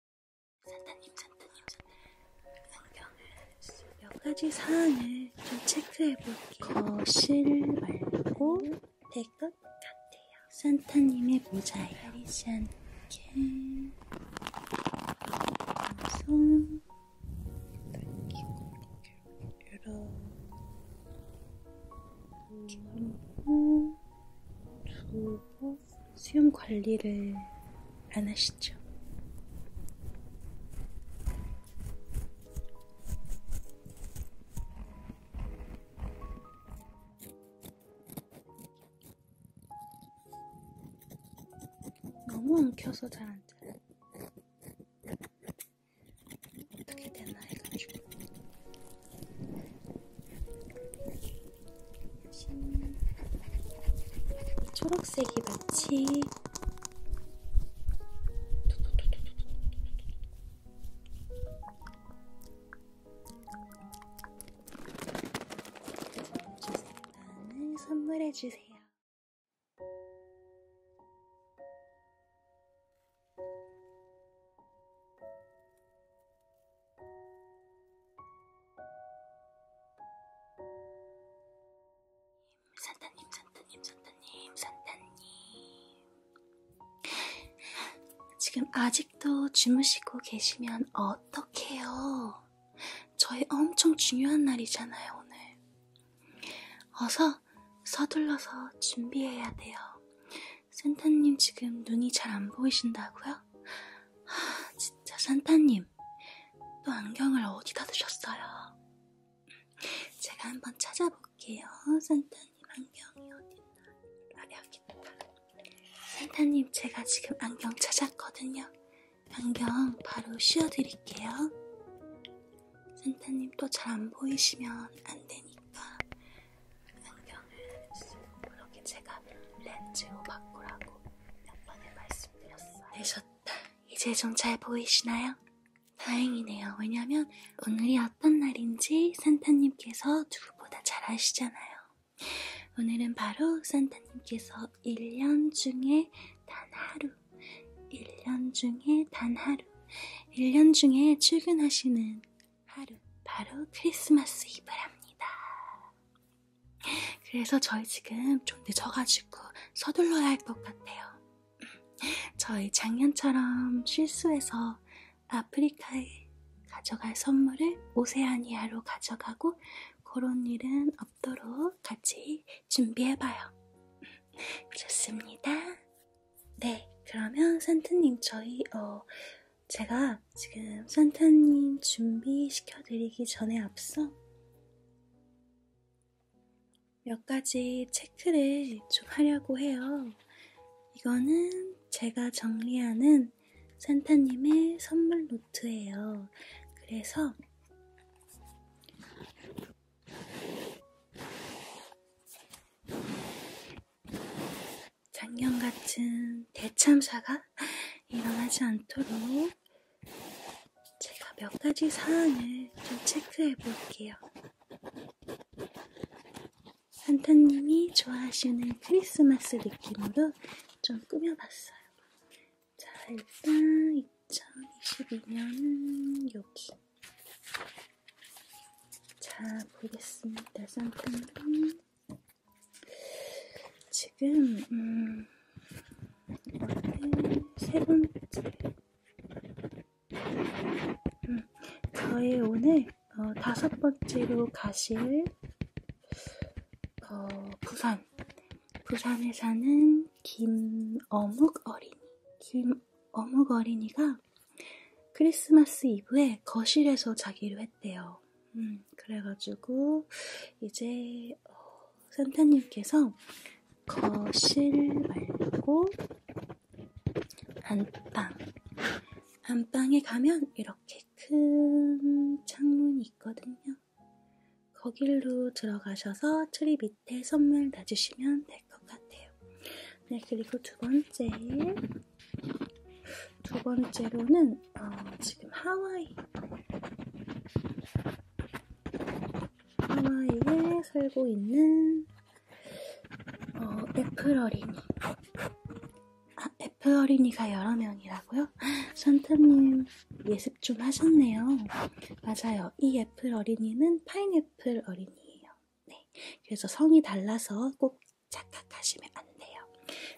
산타님, 산타님, 안경을 몇 가지 사안을 좀 체크해 볼게요. 거실 말고 될 것 같아요. 산타님의 모자에 가리지 않게 손 이렇게 이렇게 하고 두고 수염 관리를 안 하시죠? 너무 엉켜서 잘안 자요. 어떻게 되나 해가지고. 초록색이 마치 나는 선물해주세요. 산타님, 산타님, 산타님, 산타님. 지금 아직도 주무시고 계시면 어떡해요? 저희 엄청 중요한 날이잖아요, 오늘. 어서 서둘러서 준비해야 돼요. 산타님 지금 눈이 잘 안 보이신다고요? 하, 진짜 산타님, 또 안경을 어디다 두셨어요? 제가 한번 찾아볼게요. 산타님 안경이 어딨나? 아, 여기다. 산타님, 제가 지금 안경 찾았거든요. 안경 바로 씌워드릴게요. 산타님 또 잘 안 보이시면 안 되니까 안경을 그렇게 제가 렌즈로 바꾸라고 몇 번을 말씀드렸어요. 되셨다. 네, 이제 좀 잘 보이시나요? 다행이네요. 왜냐면 오늘이 어떤 날인지 산타님께서 누구보다 잘 아시잖아요. 오늘은 바로 산타님께서 1년 중에 단 하루, 1년 중에 단 하루, 1년 중에 출근하시는 하루, 바로 크리스마스 이브를 합니다. 그래서 저희 지금 좀 늦어가지고 서둘러야 할 것 같아요. 저희 작년처럼 실수해서 아프리카에 가져갈 선물을 오세아니아로 가져가고 그런 일은 없도록 같이 준비해봐요. 좋습니다. 네, 그러면 산트님 저희 어 제가 지금 산타님 준비시켜드리기 전에 앞서 몇 가지 체크를 좀 하려고 해요. 이거는 제가 정리하는 산타님의 선물 노트예요. 그래서 작년 같은 대참사가 일어나지 않도록 제가 몇 가지 사안을 좀 체크해 볼게요. 산타님이 좋아하시는 크리스마스 느낌으로 좀 꾸며봤어요. 자, 일단 2022년은 여기. 자, 보겠습니다. 산타님. 지금 음, 세 번째 음, 저의 오늘 어, 다섯 번째로 가실 어, 부산 부산에 사는 김어묵 어린이 김어묵 어린이가 크리스마스 이브에 거실에서 자기로 했대요. 음. 그래가지고 이제 어, 산타님께서 거실 말고 안방 안방에 가면 이렇게 큰 창문이 있거든요. 거길로 들어가셔서 트리 밑에 선물 놔주시면 될 것 같아요. 네, 그리고 두 번째 두 번째로는 어, 지금 하와이 하와이에 살고 있는 어, 애플 어린이 아, 애플 어린이가 여러 명이라고요? 산타님 예습 좀 하셨네요. 맞아요. 이 애플 어린이는 파인애플 어린이예요. 네, 그래서 성이 달라서 꼭 착각하시면 안 돼요.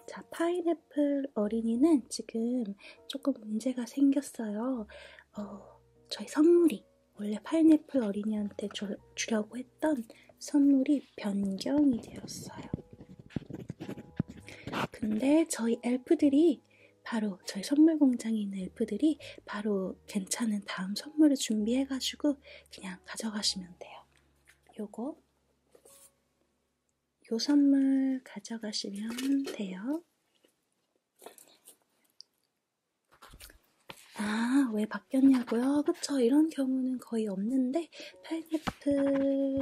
자, 파인애플 어린이는 지금 조금 문제가 생겼어요. 어, 저희 선물이, 원래 파인애플 어린이한테 주, 주려고 했던 선물이 변경이 되었어요. 근데 저희 엘프들이 바로 저희 선물 공장에 있는 엘프들이 바로 괜찮은 다음 선물을 준비해가지고 그냥 가져가시면 돼요. 요거 요 선물 가져가시면 돼요. 아, 왜 바뀌었냐고요? 그쵸. 이런 경우는 거의 없는데, 파인애플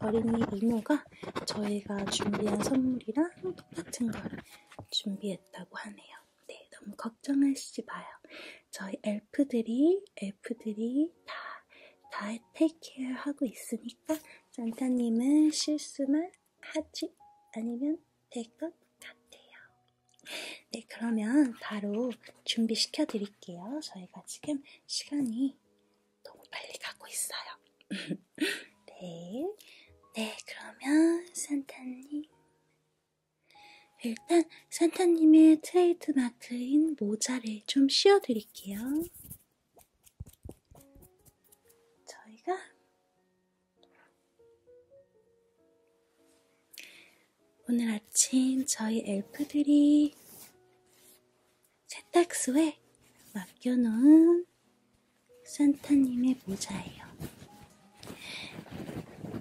어린이 이모가 저희가 준비한 선물이랑 똑같은 걸 준비했다고 하네요. 네, 너무 걱정하시지 마요. 저희 엘프들이 엘프들이 다, 다 테이크케어 하고 있으니까 산타님은 실수만 하지 않으면 될 것 같아요. 네, 그러면 바로 준비시켜 드릴게요. 저희가 지금 시간이 너무 빨리 가고 있어요. 네, 네, 그러면 산타님 일단 산타님의 트레이드마크인 모자를 좀 씌워드릴게요. 저희가 오늘 아침 저희 엘프들이 세탁소에 맡겨놓은 산타님의 모자예요.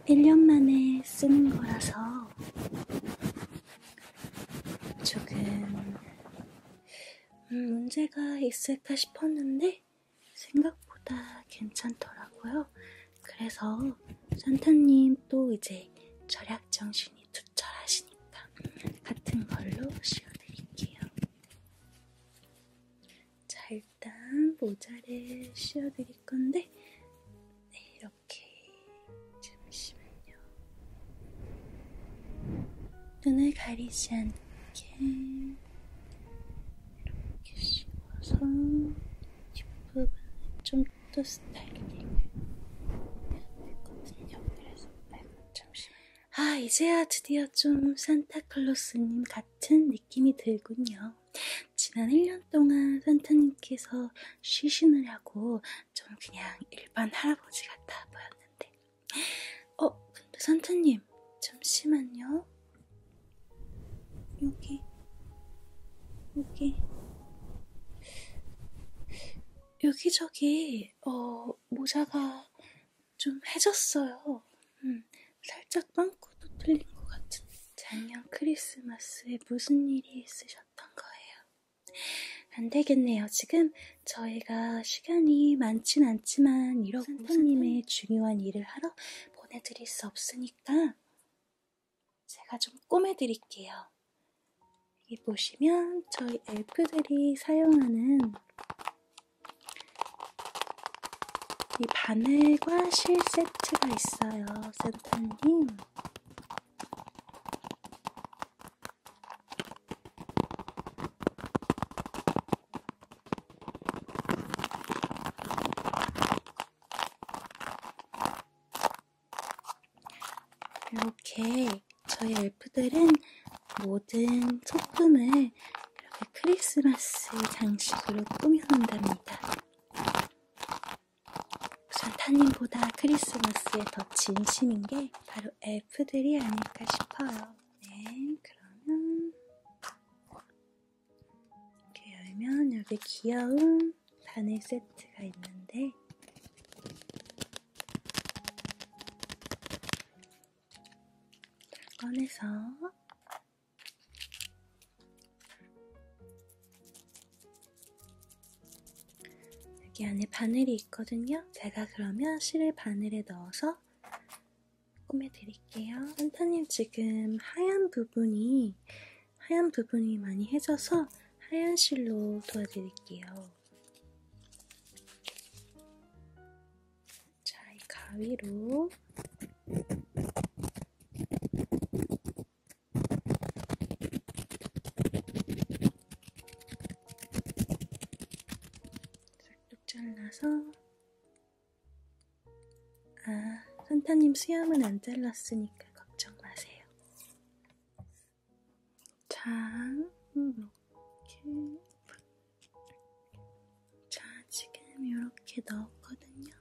1년 만에 쓰는 거라서 조금 음, 문제가 있을까 싶었는데 생각보다 괜찮더라고요. 그래서 산타님 또 이제 절약 정신이 투철하시니까 같은 걸로 씌워드릴게요. 자 일단 모자를 씌워드릴 건데 네, 이렇게 오케이. 잠시만요. 눈을 가리지 않게 이렇게 씹어서 뒷부분을 좀 더 스타일링을 해야 되거든요. 그래서 잠시만요. 아 이제야 드디어 좀 산타클로스님 같은 느낌이 들군요. 지난 1년 동안 산타님께서 쉬시느라고 좀 그냥 일반 할아버지 같아 보였는데, 어, 근데 산타님, 잠시만요. 여기, 여기, 여기저기, 어, 모자가 좀 해졌어요. 음, 살짝 빵꾸도 틀린 것 같은데. 작년 크리스마스에 무슨 일이 있으셨던 거예요? 안 되겠네요. 지금 저희가 시간이 많진 않지만 이러고 산타님의 중요한 일을 하러 보내드릴 수 없으니까 제가 좀 꼬매드릴게요. 여기 보시면 저희 엘프들이 사용하는 이 바늘과 실 세트가 있어요. 산타님. 이렇게 저희 엘프들은 모든 소품을 이렇게 크리스마스 장식으로 꾸미는답니다. 산타님보다 크리스마스에 더 진심인 게 바로 엘프들이 아닐까 싶어요. 네, 그러면 이렇게 열면 여기 귀여운 바늘 세트가 있는데 꺼내서 여기 안에 바늘이 있거든요. 제가 그러면 실을 바늘에 넣어서 꾸며드릴게요. 산타님 지금 하얀 부분이 하얀 부분이 많이 해져서 하얀 실로 도와드릴게요. 자, 이 가위로 살짝 잘라서 아 산타님 수염은 안 잘랐으니까 걱정 마세요. 자, 이렇게 자 지금 이렇게 넣었거든요.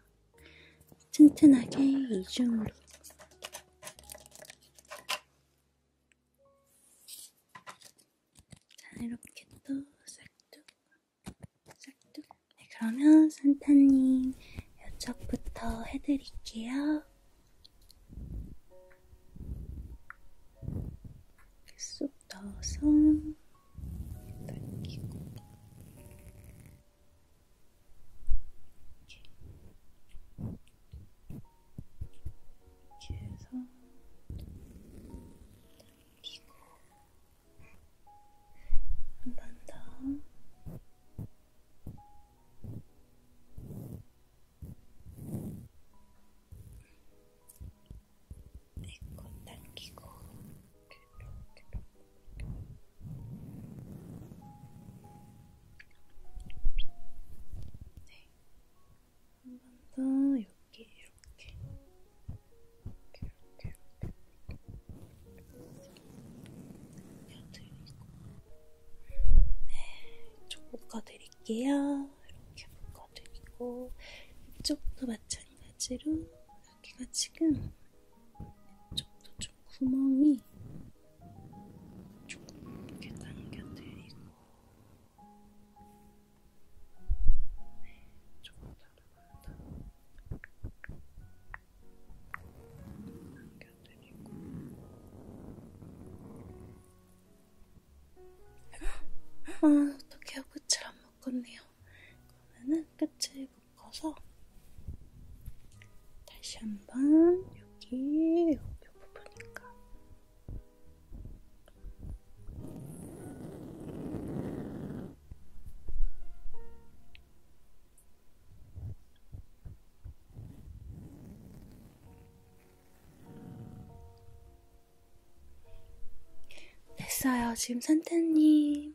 튼튼하게 이중으로 자 이렇게 또 싹둑 싹둑 네, 그러면 산타님 이쪽부터 해드릴게요 쏙 넣어서 당기고 이렇게 네, 해서 당기고 한 번 더 내건 당기고 네, 한번더 여기 이렇게 이렇게 이렇게 이렇게 네, 묶어드릴게요. 이렇게 묶어드리고 이쪽도 마찬가지로 여기가 지금 쪽도 좀 구멍이 조금 이렇게 당겨드리고 네, 조금 바로 당겨드리고 아, 어떡해요. 끝을 안 묶었네요. 그러면은 끝을 묶어서 다시 한 번 여기 여기 부분인가 됐어요. 지금 산타님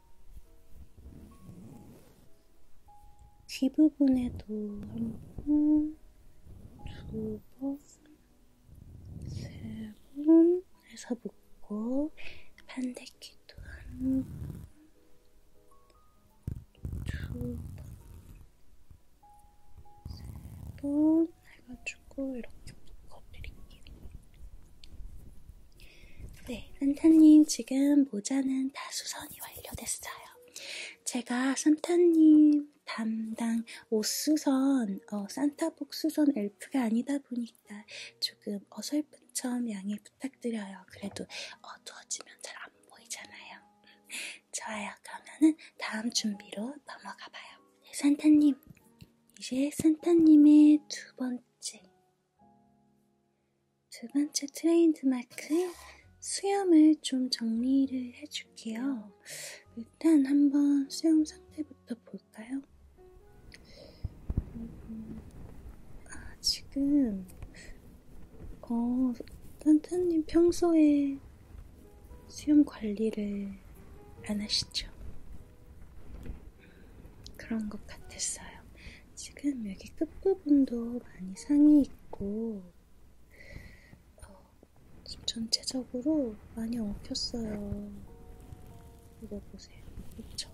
귀 부분에도 한 번, 두 번, 세 번 해서 묶고 반대귀도 한 번, 두 번, 세 번 해가지고 이렇게 묶어드릴게요. 네, 산타님 지금 모자는 다 수선이 완료됐어요. 제가 산타님 담당 옷 수선, 어, 산타복 수선 엘프가 아니다 보니까 조금 어설픈 점 양해 부탁드려요. 그래도 어두워지면 잘 안 보이잖아요. 좋아요. 그러면은 다음 준비로 넘어가 봐요. 네, 산타님. 이제 산타님의 두 번째 두 번째 트레이드마크 수염을 좀 정리를 해줄게요. 일단 한번 수염 상태부터 볼까요? 아, 지금, 어, 딴딴님 평소에 수염 관리를 안 하시죠? 그런 것 같았어요. 지금 여기 끝부분도 많이 상이 있고, 어, 지금 전체적으로 많이 엉켰어요. 이거 보세요. 그렇죠?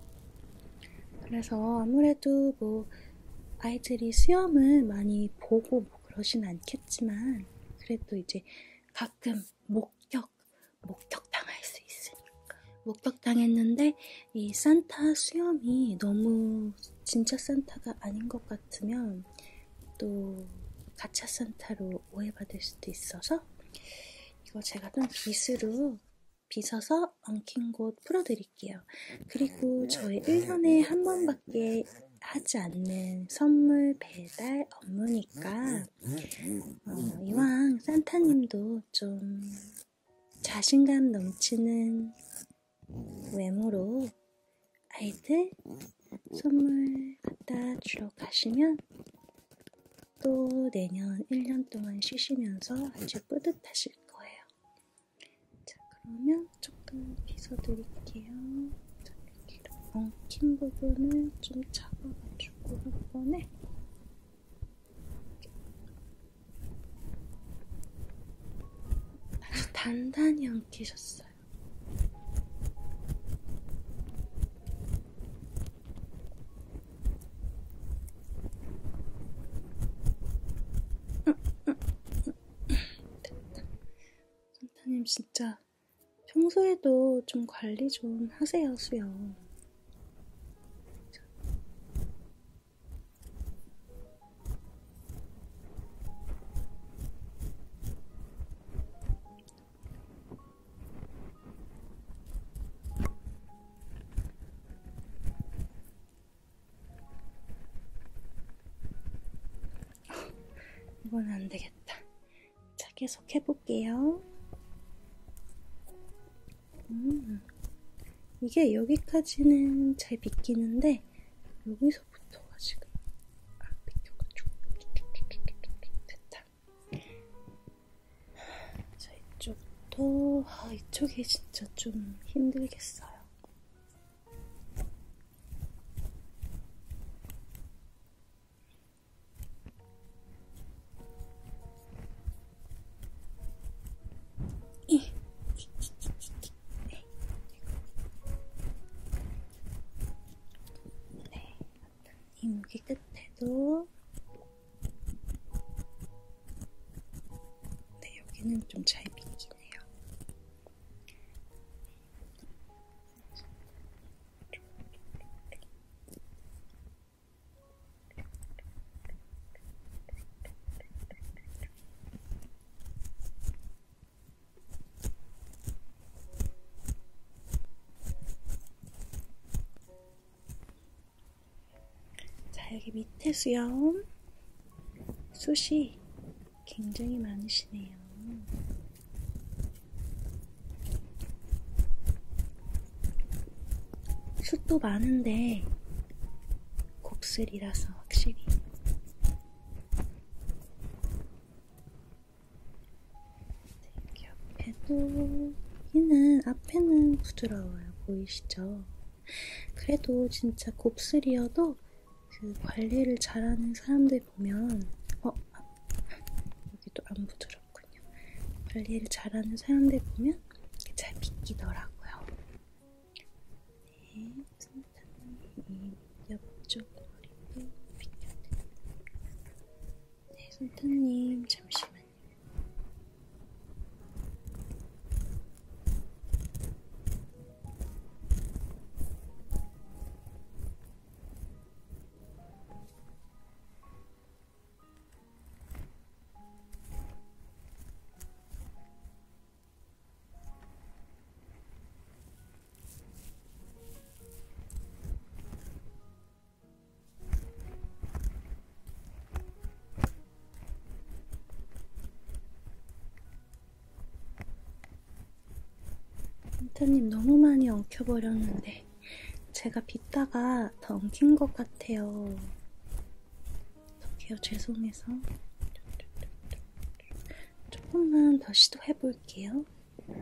그래서 아무래도 뭐 아이들이 수염을 많이 보고 뭐 그러진 않겠지만, 그래도 이제 가끔 목격, 목격당할 수 있으니까. 목격당했는데 이 산타 수염이 너무 진짜 산타가 아닌 것 같으면 또 가짜 산타로 오해받을 수도 있어서 이거 제가 좀 빗으로 빗어서 엉킨 곳 풀어드릴게요. 그리고 저희 1년에 한 번밖에 하지 않는 선물 배달 업무니까 어, 이왕 산타님도 좀 자신감 넘치는 외모로 아이들 선물 갖다 주러 가시면 또 내년 1년 동안 쉬시면서 아주 뿌듯하실 거예요. 자, 그러면 조금 빗어드릴게요. 자, 이렇게 엉킨 부분을 좀 잡아가지고 한 번에 아주 단단히 엉키셨어요. 선타님 진짜 평소에도 좀 관리 좀 하세요, 수영. 이건 안 되겠다. 자, 계속 해볼게요. 음, 이게 여기까지는 잘 비키는데 여기서부터가 지금 안 아, 비켜가지고 됐다. 자 이쪽도 아 이쪽이 진짜 좀 힘들겠어요. 네, 이목이 끝에도 네, 여기는 좀잘 비기네요. 자, 여기 밑에 수염 숱이 굉장히 많으시네요. 숱도 많은데 곱슬이라서 확실히 네, 이렇게 앞에도 얘는 앞에는 부드러워요. 보이시죠? 그래도 진짜 곱슬이어도 그 관리를 잘하는 사람들 보면 어? 아, 여기도 안 부드럽군요. 관리를 잘하는 사람들 보면 보면은 잘 비키더라고요. 네, 손탄님 옆쪽 머리도 비켜드립니다. 네, 손탄님 잠시만요. 네, 민트님 너무 많이 엉켜버렸는데 제가 빗다가 더 엉킨 것 같아요. 저기요, 죄송해서. 조금만 더 시도해 볼게요. 네,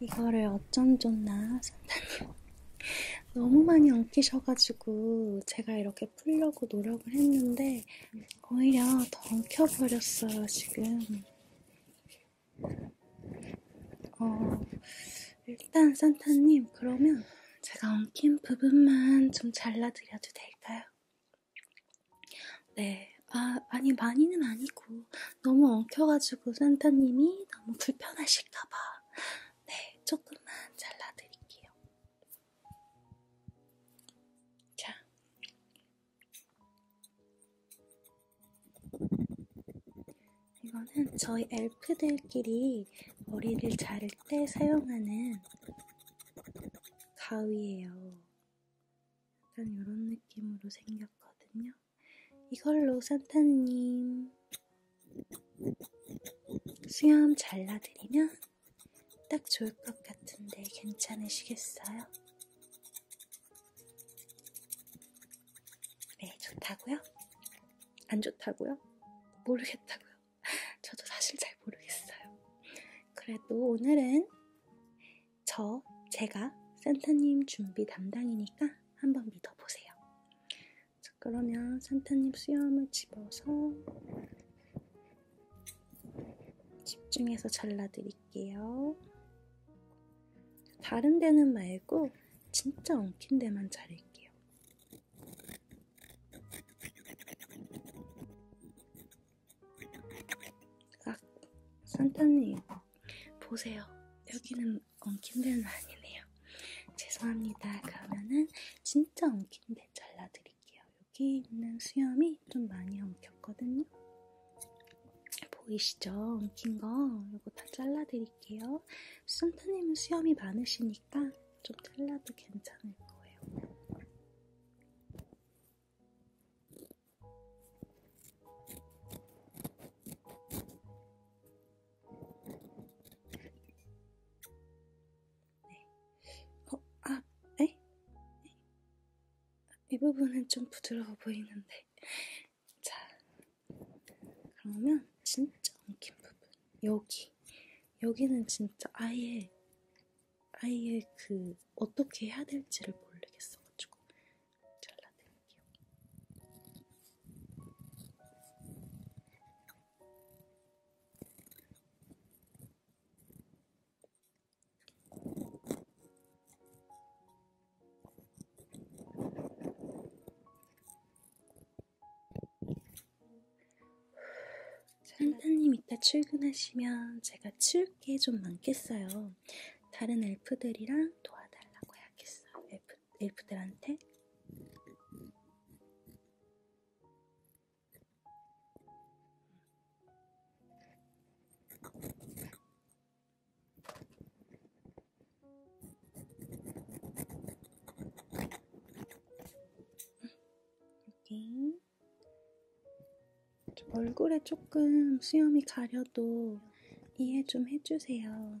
이거를 어쩜 좋나 선생님 너무 많이 엉키셔가지고 제가 이렇게 풀려고 노력을 했는데 오히려 더 켜버렸어요, 지금. 어, 일단 산타님, 그러면 제가 엉킨 부분만 좀 잘라드려도 될까요? 네. 아, 아니, 많이는 아니고, 너무 엉켜가지고 산타님이 너무 불편하실까봐. 네, 조금만 잘라드릴게요. 자, 이거는 저희 엘프들끼리 머리를 자를 때 사용하는 가위예요. 약간 이런 느낌으로 생겼거든요. 이걸로 산타님 수염 잘라드리면 딱 좋을 것 같은데 괜찮으시겠어요? 네, 좋다고요? 안 좋다고요? 모르겠다고요. 저도 사실 잘 모르겠어요. 그래도 오늘은 저, 제가 산타님 준비 담당이니까 한번 믿어보세요. 자, 그러면 산타님 수염을 집어서 집중해서 잘라드릴게요. 다른 데는 말고 진짜 엉킨 데만 자를게요. 아, 산타님 보세요. 여기는 엉킨 데는 아니네요. 죄송합니다. 그러면은 진짜 엉킨 데 잘라드릴게요. 같아요. 여기 있는 수염이 좀 많이 엉켰거든요. 보이시죠? 엉킨 거 이거 다 잘라드릴게요. 순타님은 수염이 많으시니까 좀 잘라도 괜찮을 거예요. 네. 어, 아, 네? 네? 이 부분은 좀 부드러워 보이는데. 자, 그러면 진짜 엉킨 부분. 여기. 여기는 진짜 아예, 아예 그, 어떻게 해야 될지를 모르겠어가지고. 잘라드릴게요. 산타님 이따 출근하시면 제가 치울 게 좀 많겠어요. 다른 엘프들이랑 도와달라고 해야겠어요. 엘프, 엘프들한테. 이렇게 얼굴에 조금 수염이 가려도 이해 좀 해주세요.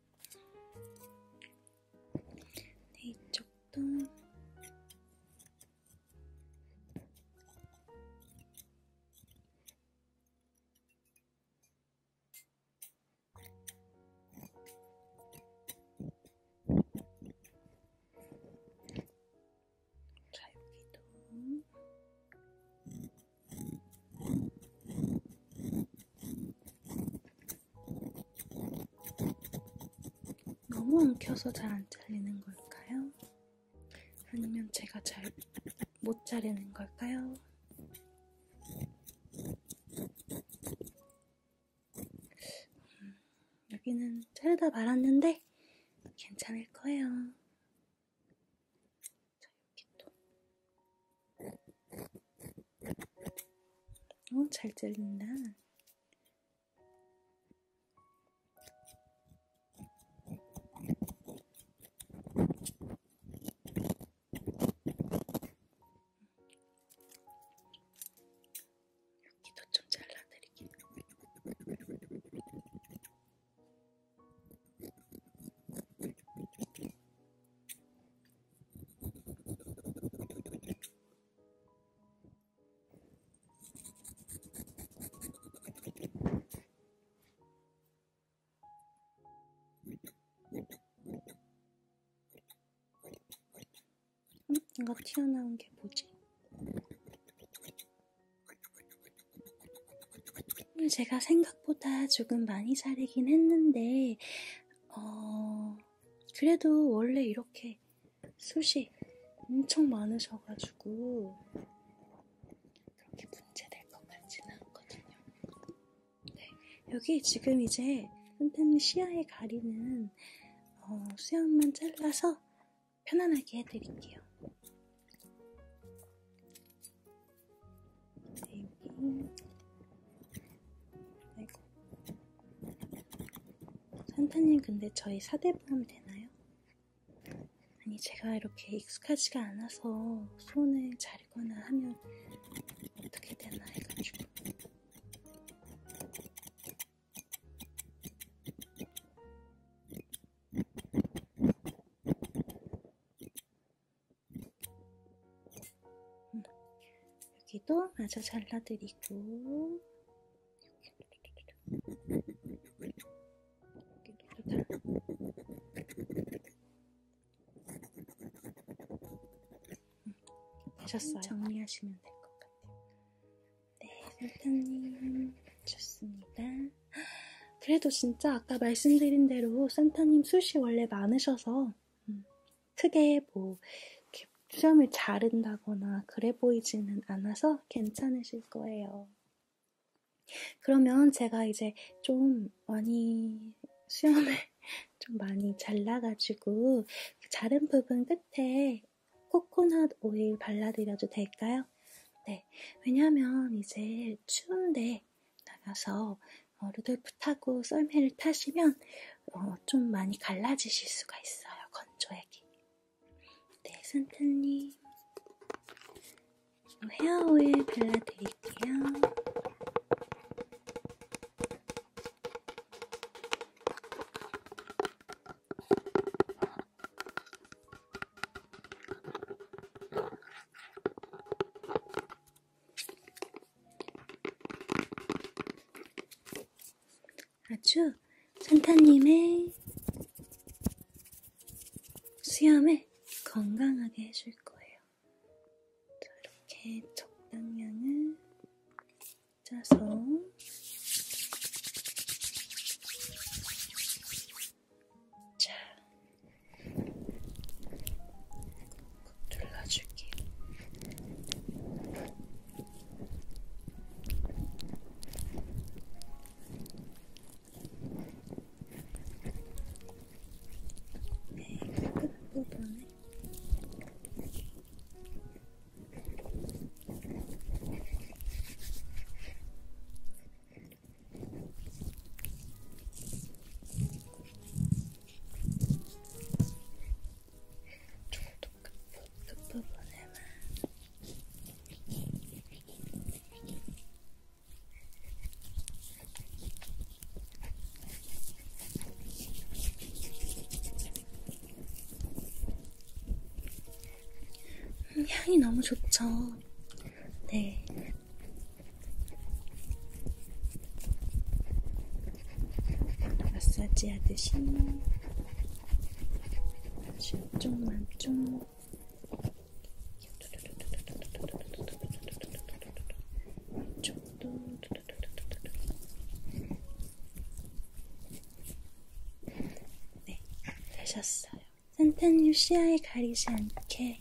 네, 이쪽도 자, 여기도 너무 엉켜서 잘 안 잘리는 걸까요? 아니면 제가 잘 못 자르는 걸까요? 음, 여기는 자르다 말았는데 괜찮을 거예요. 자, 이렇게 또. 어, 잘 잘린다. 여기도 좀 잘라드릴게요. 음, 뭔가 튀어나온 게 뭐지? 음, 제가 생각보다 조금 많이 자르긴 했는데, 어, 그래도 원래 이렇게 숱이 엄청 많으셔가지고, 그렇게 문제될 것 같지는 않거든요. 네, 여기 지금 이제 선생님 시야에 가리는 어, 수염만 잘라서 편안하게 해드릴게요. 아이고. 산타님 근데 저희 사대보험 되나요? 아니 제가 이렇게 익숙하지가 않아서 손을 자르거나 하면 어떻게 되나 해가지고 여기도 마저 잘라드리고 되셨어요? 음, 정리하시면 될 것 같아요. 네, 선생님 좋습니다. 그래도 진짜 아까 말씀드린 대로 산타님 숱이 원래 많으셔서 음, 크게 뭐 이렇게 수염을 자른다거나 그래 보이지는 않아서 괜찮으실 거예요. 그러면 제가 이제 좀 많이 수염을 좀 많이 잘라가지고 그 자른 부분 끝에 코코넛 오일 발라드려도 될까요? 네. 왜냐면 이제 추운데 나가서 어, 루돌프 타고 썰매를 타시면 어, 좀 많이 갈라지실 수가 있어요. 건조액이. 네, 산타님. 헤어오일 발라드릴게요. 아주 산타님의 수염을 건강하게 해줄 거예요. 자, 이렇게 적당량을 짜서 자, 둘러줄게요. 네, 끝 부분에 저도 음, 끝부분에만 향이 너무 좋죠. 네, 마사지 하듯이 아주 조금만 좀 이쪽도 네, 되셨어요. 산탄유 시야에 가리지 않게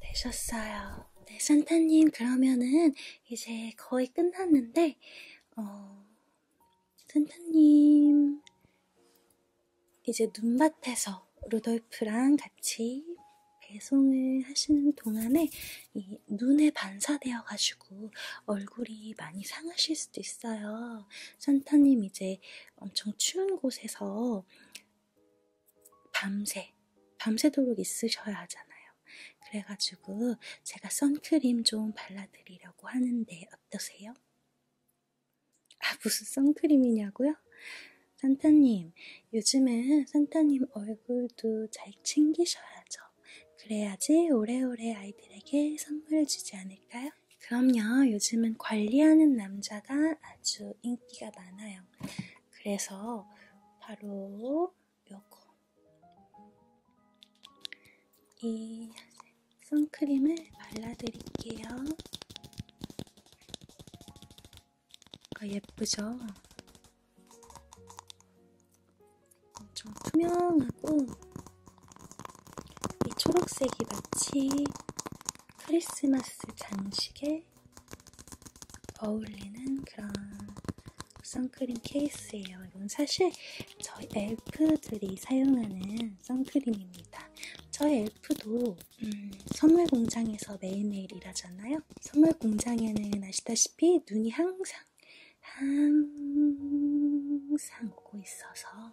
되셨어요. 네, 산타님 그러면은 이제 거의 끝났는데 어, 산타님 이제 눈밭에서 루돌프랑 같이 배송을 하시는 동안에 이 눈에 반사되어 가지고 얼굴이 많이 상하실 수도 있어요. 산타님 이제 엄청 추운 곳에서 밤새, 밤새도록 있으셔야 하잖아요. 그래가지고 제가 선크림 좀 발라드리려고 하는데 어떠세요? 아, 무슨 선크림이냐고요? 산타님, 요즘은 산타님 얼굴도 잘 챙기셔야죠. 그래야지 오래오래 아이들에게 선물을 주지 않을까요? 그럼요, 요즘은 관리하는 남자가 아주 인기가 많아요. 그래서 바로 요거. 이 선크림을 발라드릴게요. 아, 예쁘죠? 엄청 투명하고 이 초록색이 마치 크리스마스 장식에 어울리는 그런 선크림 케이스예요. 이건 사실 저희 엘프들이 사용하는 선크림입니다. 저희 엘프도 음, 선물 공장에서 매일매일 일하잖아요. 선물 공장에는 아시다시피 눈이 항상 항상 오고 있어서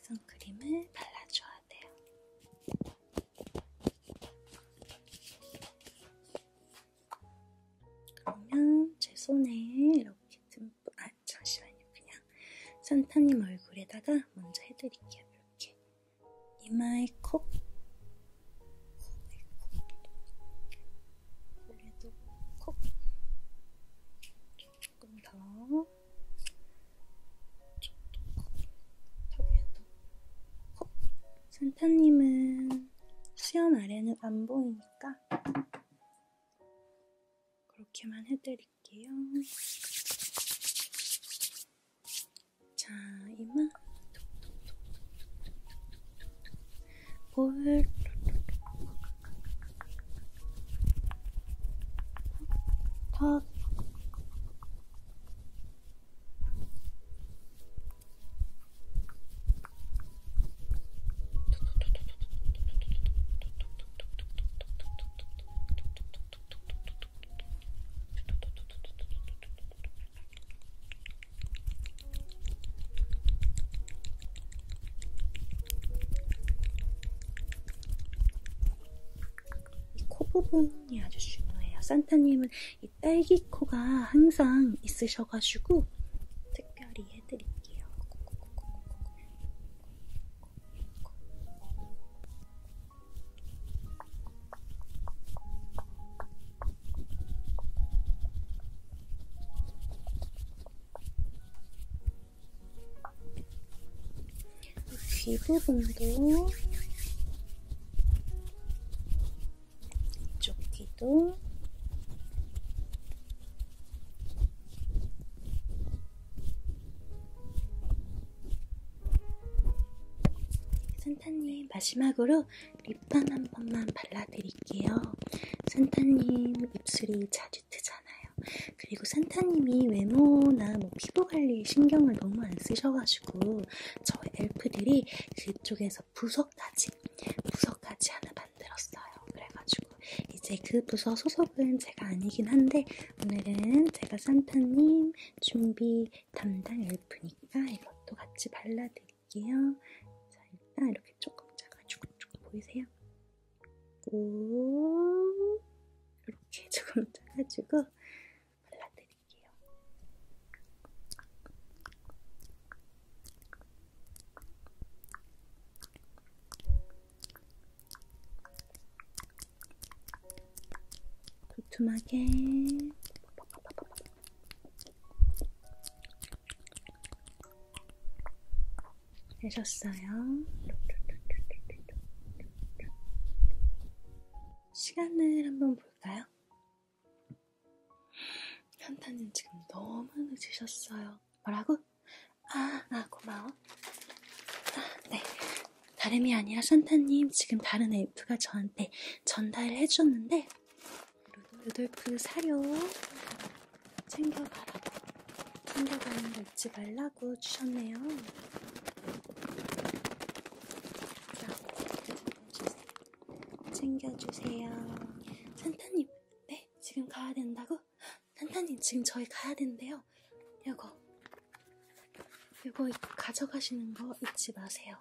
선크림을 발라줘야 돼요. 그러면 제 손에 이렇게 듬뿍 아 잠시만요 그냥 산타님 얼굴에다가 먼저 해드릴게요. 이렇게 이마에 콕, 코에 콕, 고개도 콕, 조금 더, 저도 콕, 턱에도 콕. 산타님은 수염 아래는 안 보이니까 그렇게만 해드릴게요. 자, 이마 볼 턱, 이코 부분이 아주 중요해요. 산타님은 이 딸기 코가 항상 있으셔가지고 특별히 해드릴게요. 이 부분도 이쪽 귀도 산타님 마지막으로 립밤 한 번만 발라드릴게요. 산타님 입술이 자주 트잖아요. 그리고 산타님이 외모나 뭐 피부 관리 신경을 너무 안 쓰셔가지고 저희 엘프들이 그쪽에서 부석까지 부석까지 하나 만들었어요. 그래가지고 이제 그 부서 소속은 제가 아니긴 한데 오늘은 제가 산타님 준비 담당 엘프니까 이것도 같이 발라드릴게요. 자, 일단 이렇게 조금 짜가지고 조금 보이세요? 오, 이렇게 조금 짜가지고 발라드릴게요. 두툼하게 해줬어요. 시간을 한번 볼까요? 한타님 지금 너무 늦으셨어요. 뭐라고? 아, 아 고마워. 아, 네. 다름이 아니라 산타님 지금 다른 엘프가 저한테 전달을 해주셨는데 루돌프 사료 챙겨가라고 챙겨가는 거 잊지 말라고 주셨네요. 자, 챙겨주세요. 산타님, 네, 지금 가야 된다고? 산타님, 지금 저희 가야 된대요. 이거 이거 가져가시는 거 잊지 마세요.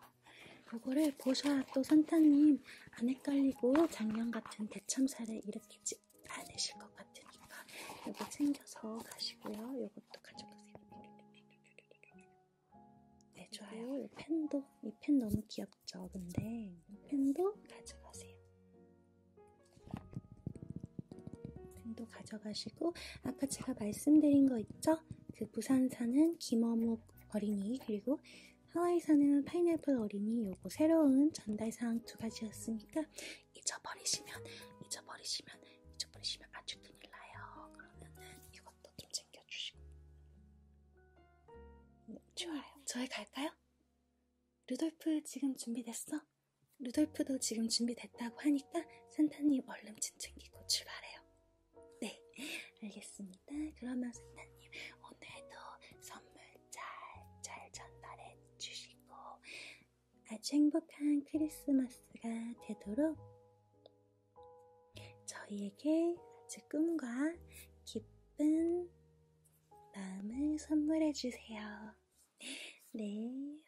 이거를 보셔야 또 산타님 안 헷갈리고 작년 같은 대참사를 일으키지 않으실 것 같으니까 이거 챙겨서 가시고요. 이것도 가져가세요. 네, 좋아요. 이 펜도, 이 펜 너무 귀엽죠? 근데 이 펜도 가져가세요. 등도 가져가시고 아까 제가 말씀드린 거 있죠? 그 부산사는 김어묵 어린이 그리고 하와이사는 파인애플 어린이 요거 새로운 전달사항 두 가지였으니까 잊어버리시면 잊어버리시면 잊어버리시면 아주 큰일 나요. 그러면은 이것도 좀 챙겨주시고 네, 좋아요. 저희 갈까요? 루돌프 지금 준비됐어? 루돌프도 지금 준비됐다고 하니까 산타님 얼른 짐 챙기고 출발해요. 네, 알겠습니다. 그러면 산타님 오늘도 선물 잘잘 잘 전달해 주시고 아주 행복한 크리스마스가 되도록 저희에게 아주 꿈과 기쁜 마음을 선물해 주세요. 네.